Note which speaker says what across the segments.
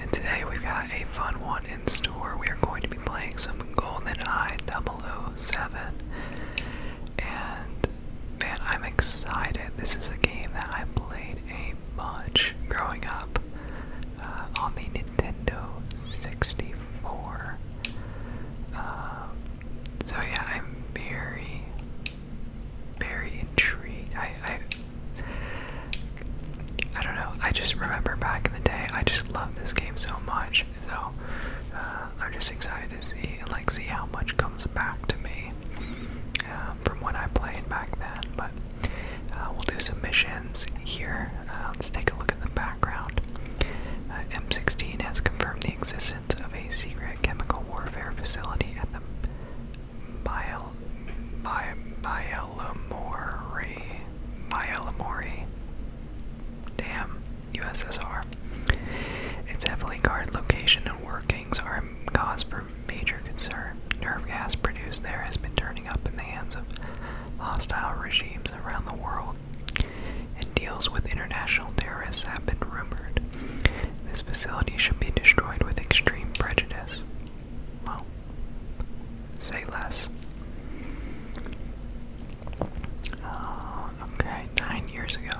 Speaker 1: And today we've got a fun one in store. We are going to be playing some GoldenEye 007. And man, I'm excited. This is a game that I played a bunch growing up uh, on the Nintendo 64. Um, so yeah, I'm very, very intrigued. I don't know. I just remember back in the day, I just love this game so much. So uh, I'm just excited to see like see how much comes back to me um, from when I played back then. But uh, we'll do some missions here. Uh, let's take a look at the background. M16 has confirmed the existence of a secret chemical warfare facility at the Myel, my, Myelamori, Damn, USSR. Its heavily guarded location and workings are cause for major concern. Nerve gas produced there has been turning up in the hands of hostile regimes around the world, and deals with international terrorists have been rumored. This facility should be destroyed with extreme prejudice. Well, say less. Uh, okay, nine years ago.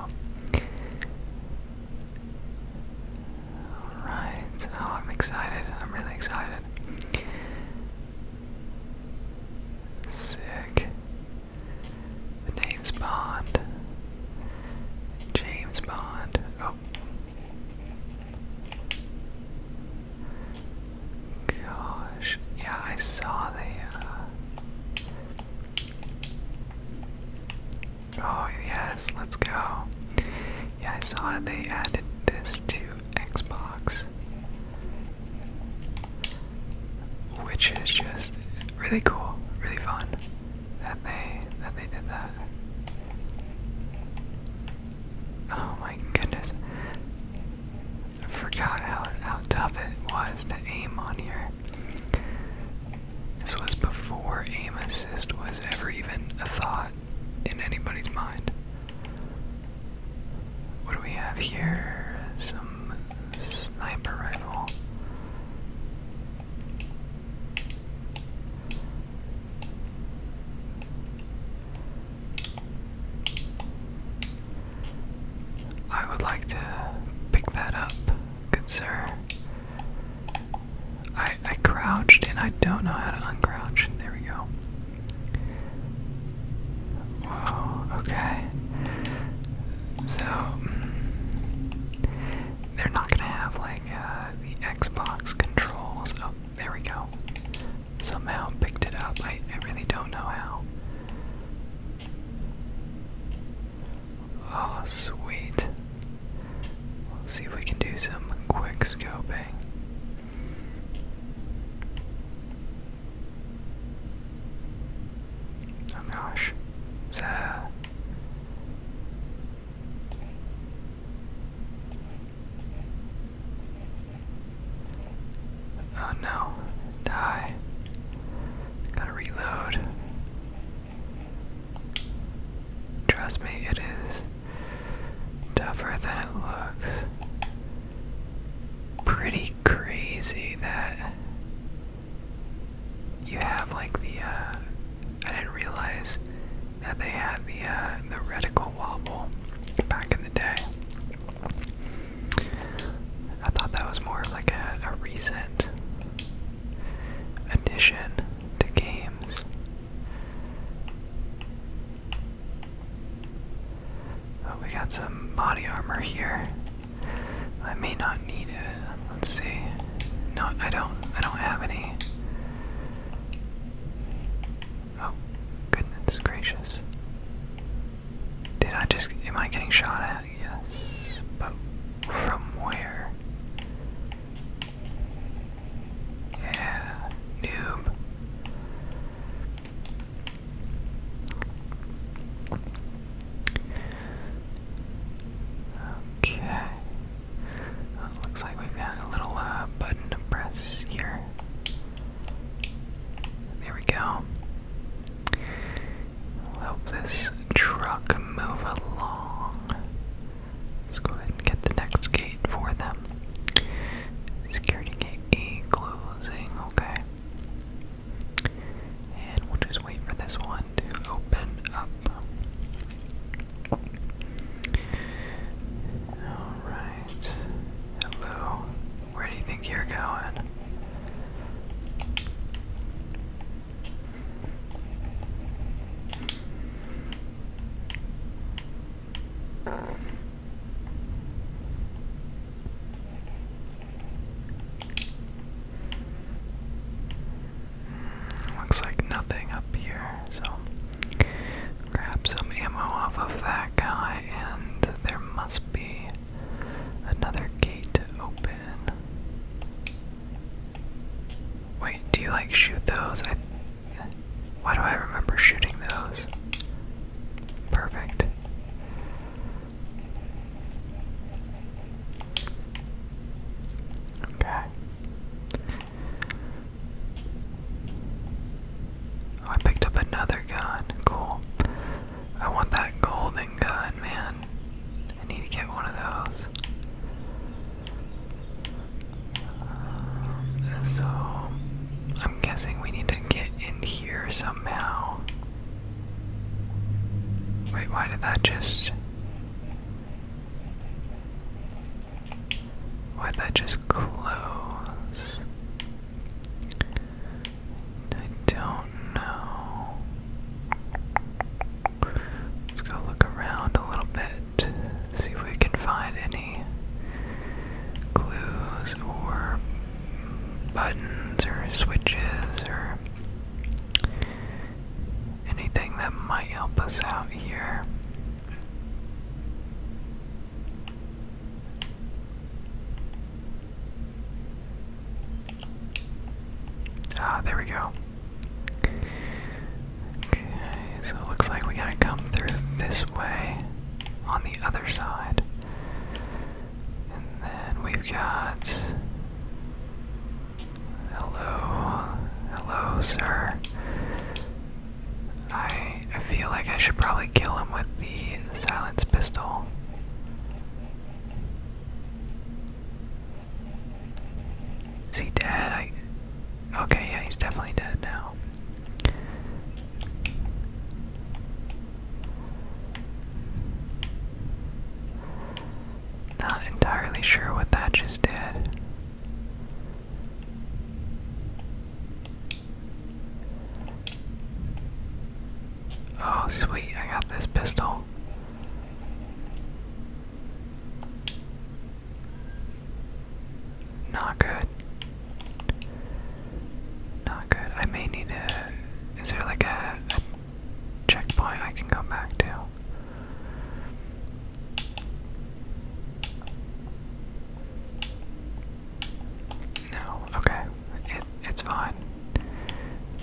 Speaker 1: Alright, oh, I'm excited. I'm really excited. Sick. name's Bond. James Bond. Oh, Gosh, yeah, I saw the. Uh, oh, yes, let's go. Yeah, I saw they added this to Xbox, which is just really cool, really fun that they that they did that. Oh my goodness. I forgot how how tough it was to aim on here. This was before aim assist was ever even a thought in anybody's mind. What do we have here? Some sniper rifle. I would like to pick that up, good sir. I I crouched and I don't know how to uncrouch. There we go. okay. So, mm, they're not gonna have like, uh, the Xbox controls. Oh, there we go. Somehow picked it up. I, really don't know how. Oh, sweet. see if we can do some quick scoping. Oh gosh. Is that a. Oh no, die. Gotta reload. Trust me, it is tougher than it looks. Pretty crazy that you have like the, uh, I didn't realize that they had the uh, the reticle wobble back in the day. I thought that was more like a, a recent addition to games. Oh, we got some body armor here. I may not need it. Let's see. No, I don't. I don't have any. Oh, goodness gracious. Did I just. Am I getting shot at? Yes. But from where? Yeah, noob. Okay looks like we've got a little uh, button to press here. There we go. help this truck move along. Let's go ahead and get the next gate for them. Security gate E closing, okay. And we'll just wait for this one to open up. Alright. Hello. Where do you think you're going? Looks like nothing up here, so grab some ammo off of that guy, and there must be another gate to open. Wait, do you like shoot those? I, why do I remember shooting those? Perfect. Okay. Oh, I picked up another gun. Cool. I want that golden gun, man. I need to get one of those. Um, so, I'm guessing we need to get in here somehow. Wait, why did that just. Why'd that just close? I don't know. Let's go look around a little bit, see if we can find any clues or buttons or switches or anything that might help us out here. Ah, there we go. Okay, so it looks like we gotta come through this way on the other side. And then we've got Hello, hello, sir. I I feel like I should probably kill him with the silence pistol. Is he dead? I Okay, yeah, he's definitely dead now. Not entirely sure what that just did. Oh, sweet, I got this pistol. Not good. Not good. I may need a. Is there like a, checkpoint I can go back to. No, okay, it, it's fine.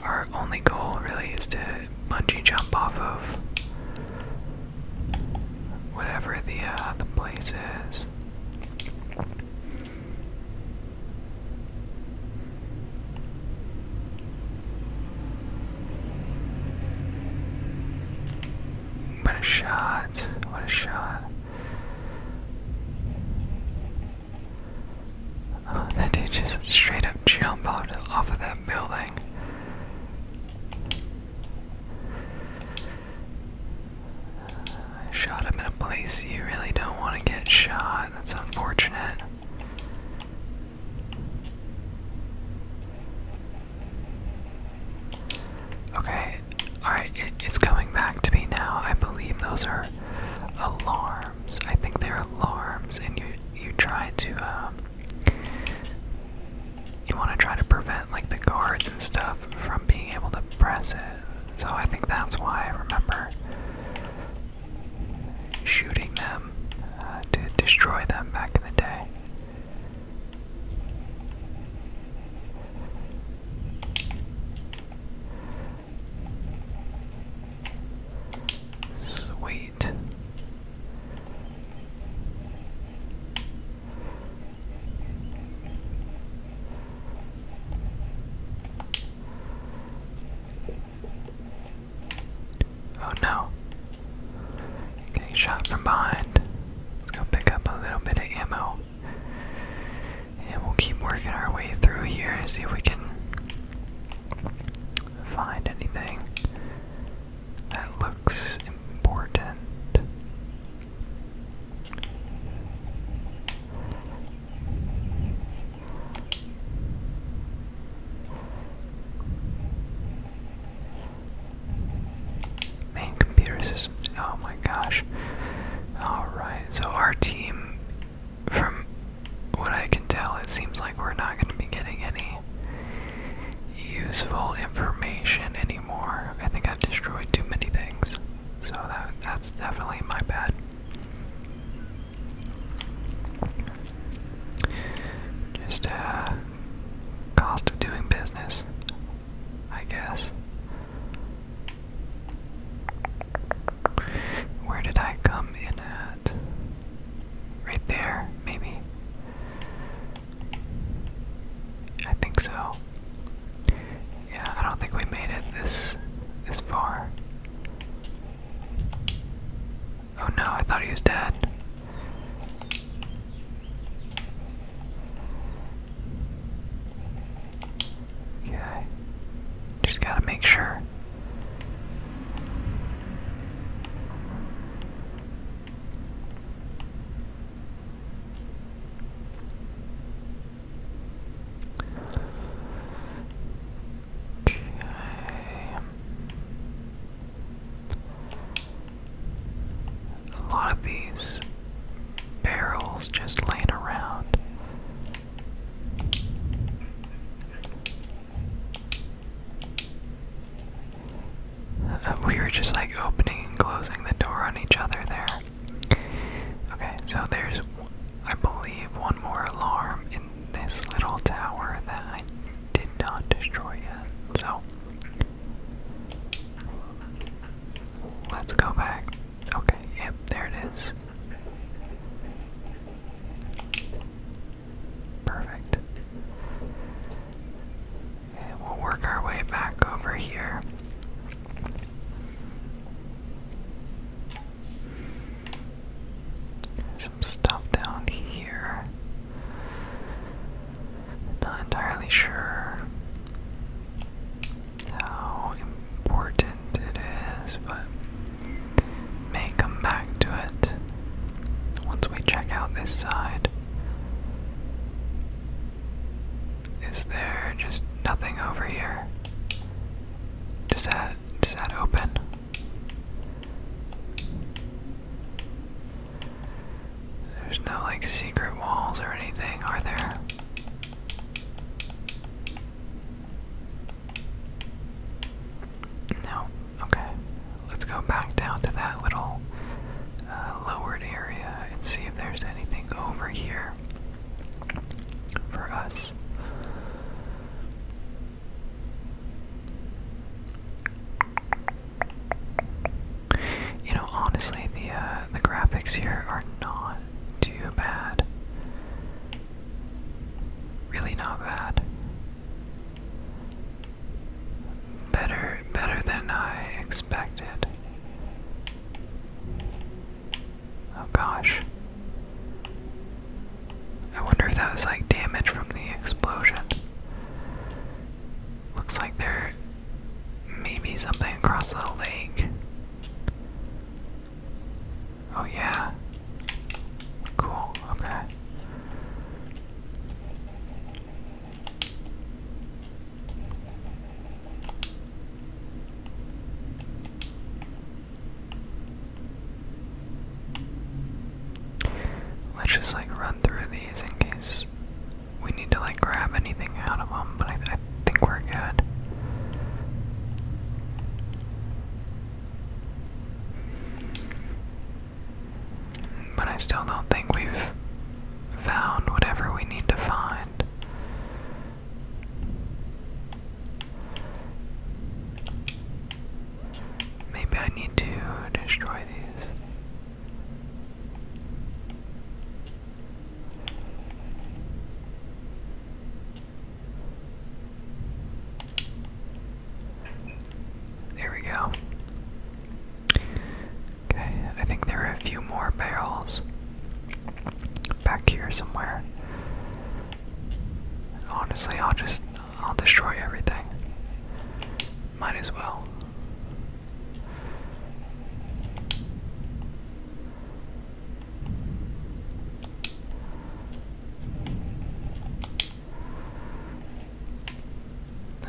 Speaker 1: Our only goal really is to bungee jump off of whatever the uh, the place is. What a shot. What a shot. Oh, that dude just straight up jumped off, of that building. shot him in a place you really don't want to get shot. That's unfortunate. Okay, alright, it's coming back to me now. I believe those are alarms. I think they're alarms, and you you try to um, you want to try to prevent like the guards and stuff from being able to press it. So I think that's why I remember shooting them uh, to destroy them back in the day. Sweet. Oh no. Getting shot from behind. Let's go pick up a little bit of ammo. And we'll keep working our way through here to see if we can find anything that looks important. Main computer Oh my gosh. Alright, so our team, from what I can tell, it seems like we're not going to be getting any useful information anymore. I think I've destroyed too many things. So that that's definitely my bad. Just a uh, cost of doing business, I guess. Where did I come in at? Right there, maybe. I think so. Yeah, I don't think we made it this this far. Oh no, I thought he was dead. Okay. Just gotta make sure. A lot of these barrels just laying around. Uh, we were just like opening and closing the door on each other there. Okay, so there's, I believe, one more alarm in this little tower that I did not destroy yet. So let's go back. Okay, yep, there it is. Perfect. we'll work our way back over here. Some stuff down here. Not entirely sure how important it is, but may come back to it once we check out this side. Is there just nothing over here? Does that does that open? There's no like secret walls or anything, are there? No. Okay. Let's go back down to that little uh, lowered area and see if there's anything over here for us. You know, honestly, the uh, the graphics here are not too bad. Really not bad. Better, better than I expected. Oh gosh. I wonder if that was like damage from the explosion. Looks like there may something across the lake. Oh, yeah. Cool, okay. Let's just like run through these in case we need to like grab anything out of them, but I, think we're good. But I still don't think we've found whatever we need to find. Maybe I need to destroy these. There we go. Okay, I think there are a few more barrels back here somewhere. Honestly, I'll just I'll destroy everything. Might as well.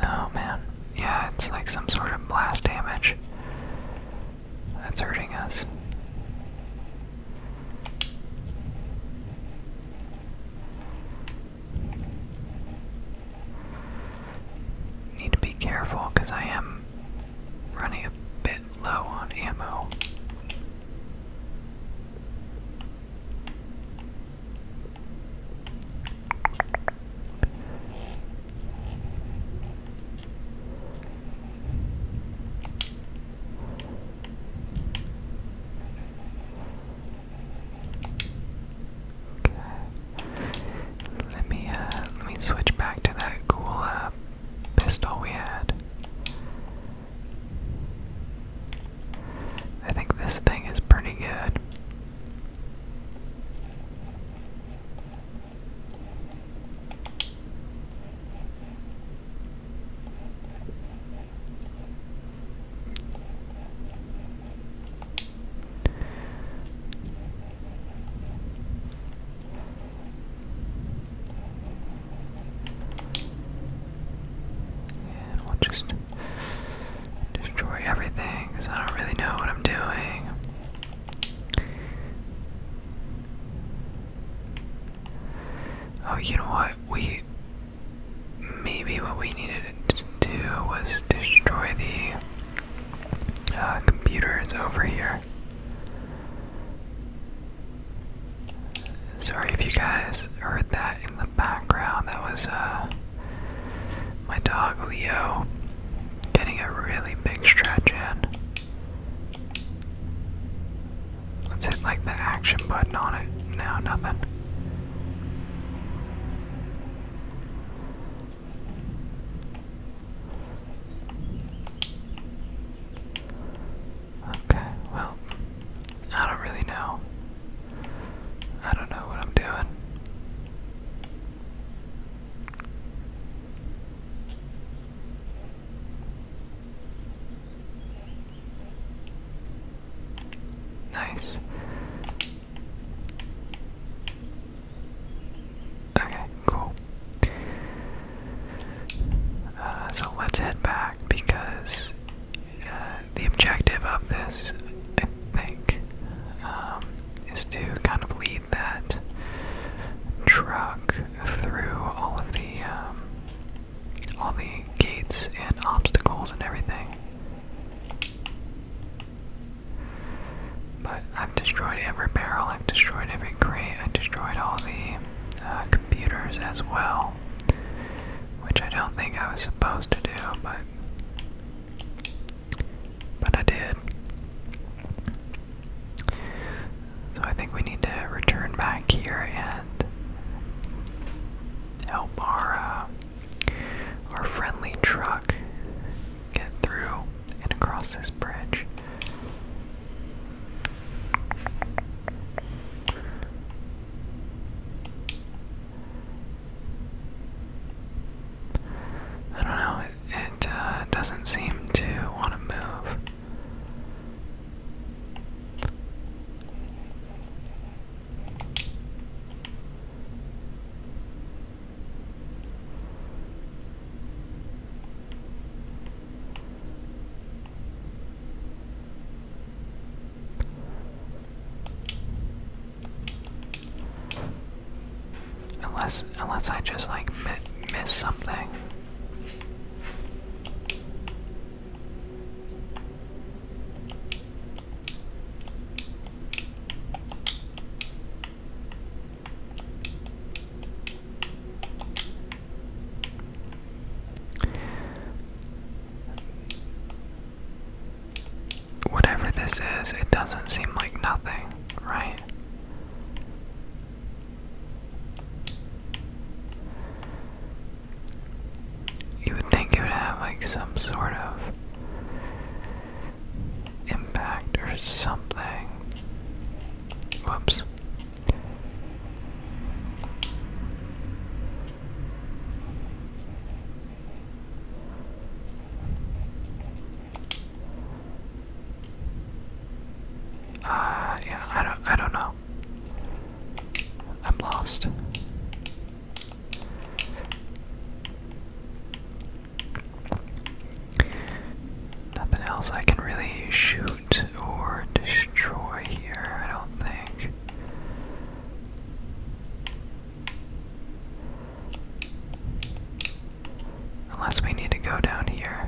Speaker 1: Oh man. Yeah, it's like some sort of blast damage. That's hurting us. Need to be careful because I am running a bit low on ammo. Let me uh, let me switch back to that cool uh pistol we had. I think this thing is pretty good. And we'll just destroy everything because I don't really know what I'm doing. Oh, you know what? We. Maybe what we needed to do was destroy the uh, computers over here. Sorry if you guys heard that in the background. That was uh, my dog Leo getting a really big stretch in. Let's hit like the action button on it. No, nothing. Okay, well, I don't really know. I don't know what I'm doing. Nice. Okay, cool. Uh, so let's head back because uh, the objective of this, I think, um, is to kind of lead that truck through all of the um, all the gates and obstacles and everything. But I've destroyed every barrel, I've destroyed every crate, I destroyed all the uh, computers as well, which I don't think I was supposed to do, but but I did. So I think we need to return back here and help our uh, our friendly truck get through and across this bridge. I don't know, it, uh, doesn't seem to want to move. Unless, unless I just like miss something. Whatever this is, it doesn't seem like nothing, right? You would think it would have like some sort of impact or something. Whoops. Uh yeah, I don't I don't know. I'm lost. Nothing else I can really shoot or destroy here, I don't think. Unless we need to go down here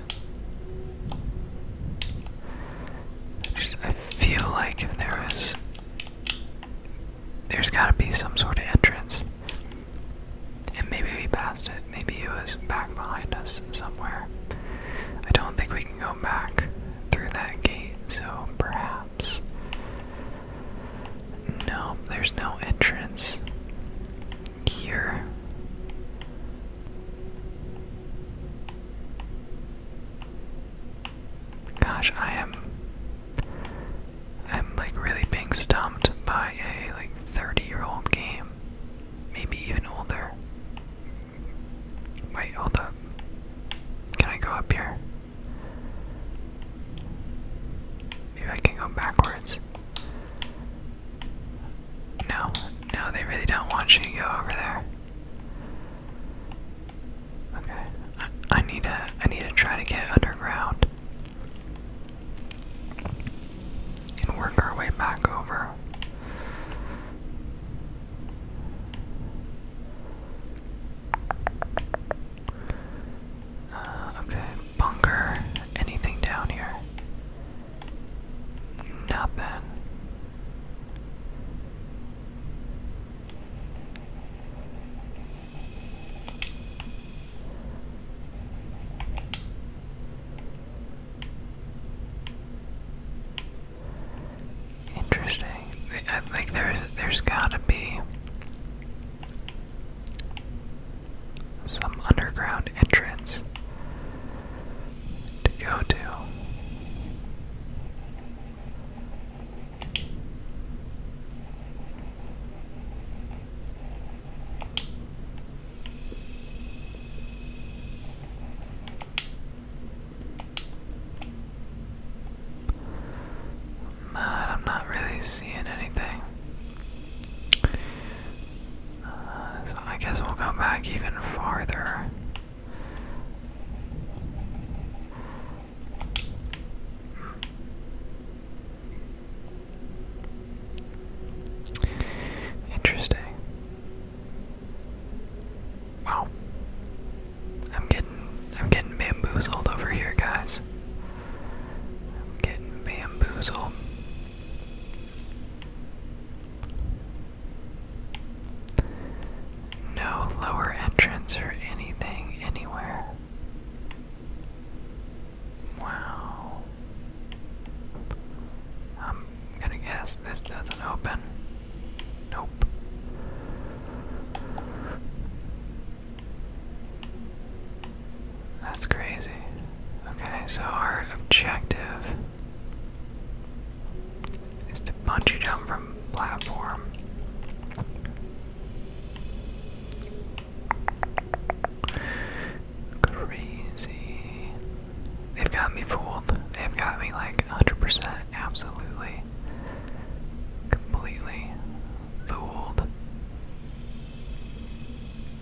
Speaker 1: I, just, I feel like if theres there's got to be some sort of entrance. And maybe we passed it. Maybe it was back behind us somewhere. I don't think we can go back through that gate, so perhaps. No, there's no entrance here. Gosh, I am I'm like really being stumped by a like 30-year-old game. Maybe even older. Wait, hold up. Can I go up here? Maybe I can go backwards. No, no, they really don't want you to go over there. Okay, I, need to, I need to try to get underground and work our way back over. Uh, okay, bunker. Anything down here? Nothing. Interesting. I there's there's gotta be some underground entrance to go to. But I'm not really seeing anything so I guess we'll go back even farther. Interesting. Wow. I'm getting I'm getting bamboozled over here, guys. I'm getting bamboozled. No lower entrance or anything anywhere. Wow. I'm gonna guess this doesn't open. Nope. That's crazy. Okay, so our objective is to punch you down from platform. Crazy. They've got me fooled. They've got me like 100%, absolutely, completely fooled.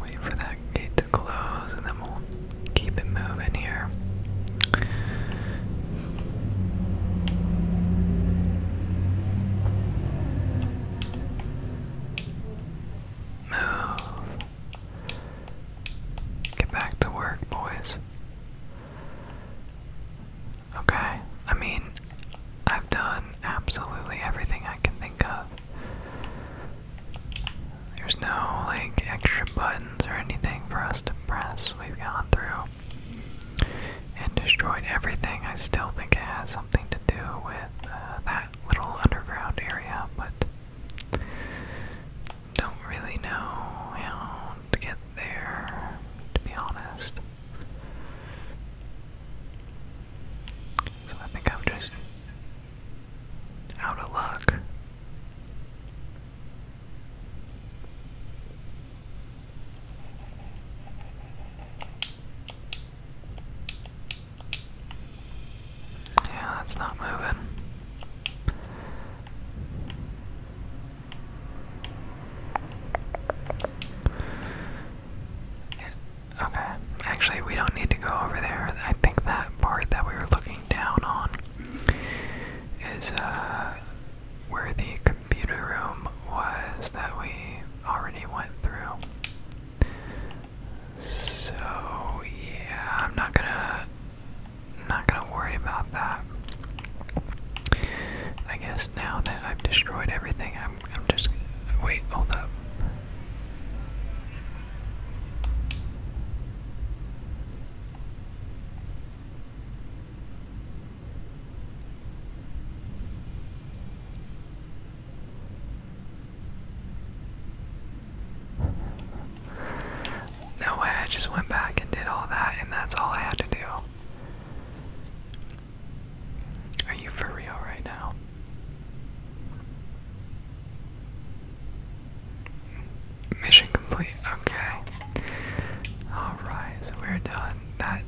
Speaker 1: Wait for that gate to close and then we'll keep it moving here. Move. Get back to work, boys. Okay? I mean, I've done absolutely everything I can think of. There's no, like, extra buttons or anything for us to press. We've gone through and destroyed everything. I still think it has something to do with uh, that little underground area, but don't really know how to get there, to be honest. So I think I'm just out of luck. Yeah, that's not moving. Okay, actually, we don't need to go over there. I think that part that we were looking down on is uh, where the computer room was that we already went through. So yeah, I'm not gonna not gonna worry about that. I guess now that I've destroyed everything, I'm I'm just wait, hold up. No way, I just went back and did all that, and that's all I had to do. Are you for real right now? Mission complete. Okay. Alright, so we're done. That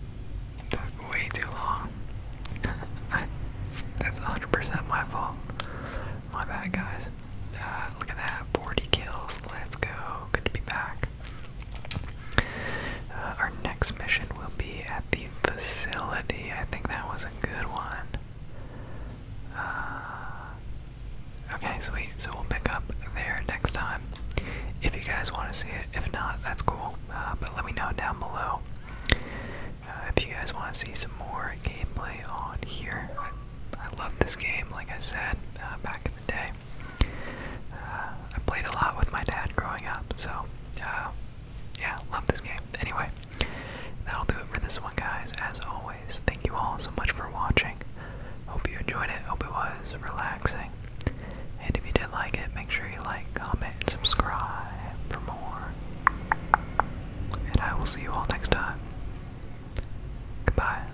Speaker 1: took way too long. I, that's 100% my fault. My bad, guys. Uh, look at that. 40 kills. Let's go. Good to be back. Uh, our next mission will be at the facility. I think that was a good one. Uh, okay, sweet. So we'll pick up there next time. If you guys want to see it, if not, that's cool. Uh, but let me know down below uh, if you guys want to see some more gameplay on here. I, love this game, like I said back in the day. Uh, I played a lot with my dad growing up, so uh, yeah, love this game. Anyway, that'll do it for this one, guys. As always, thank you all so much for watching. Hope you enjoyed it. Hope it was relaxing. And if you did like it, make sure you like, comment, and subscribe for more. And I will see you all next time. Goodbye.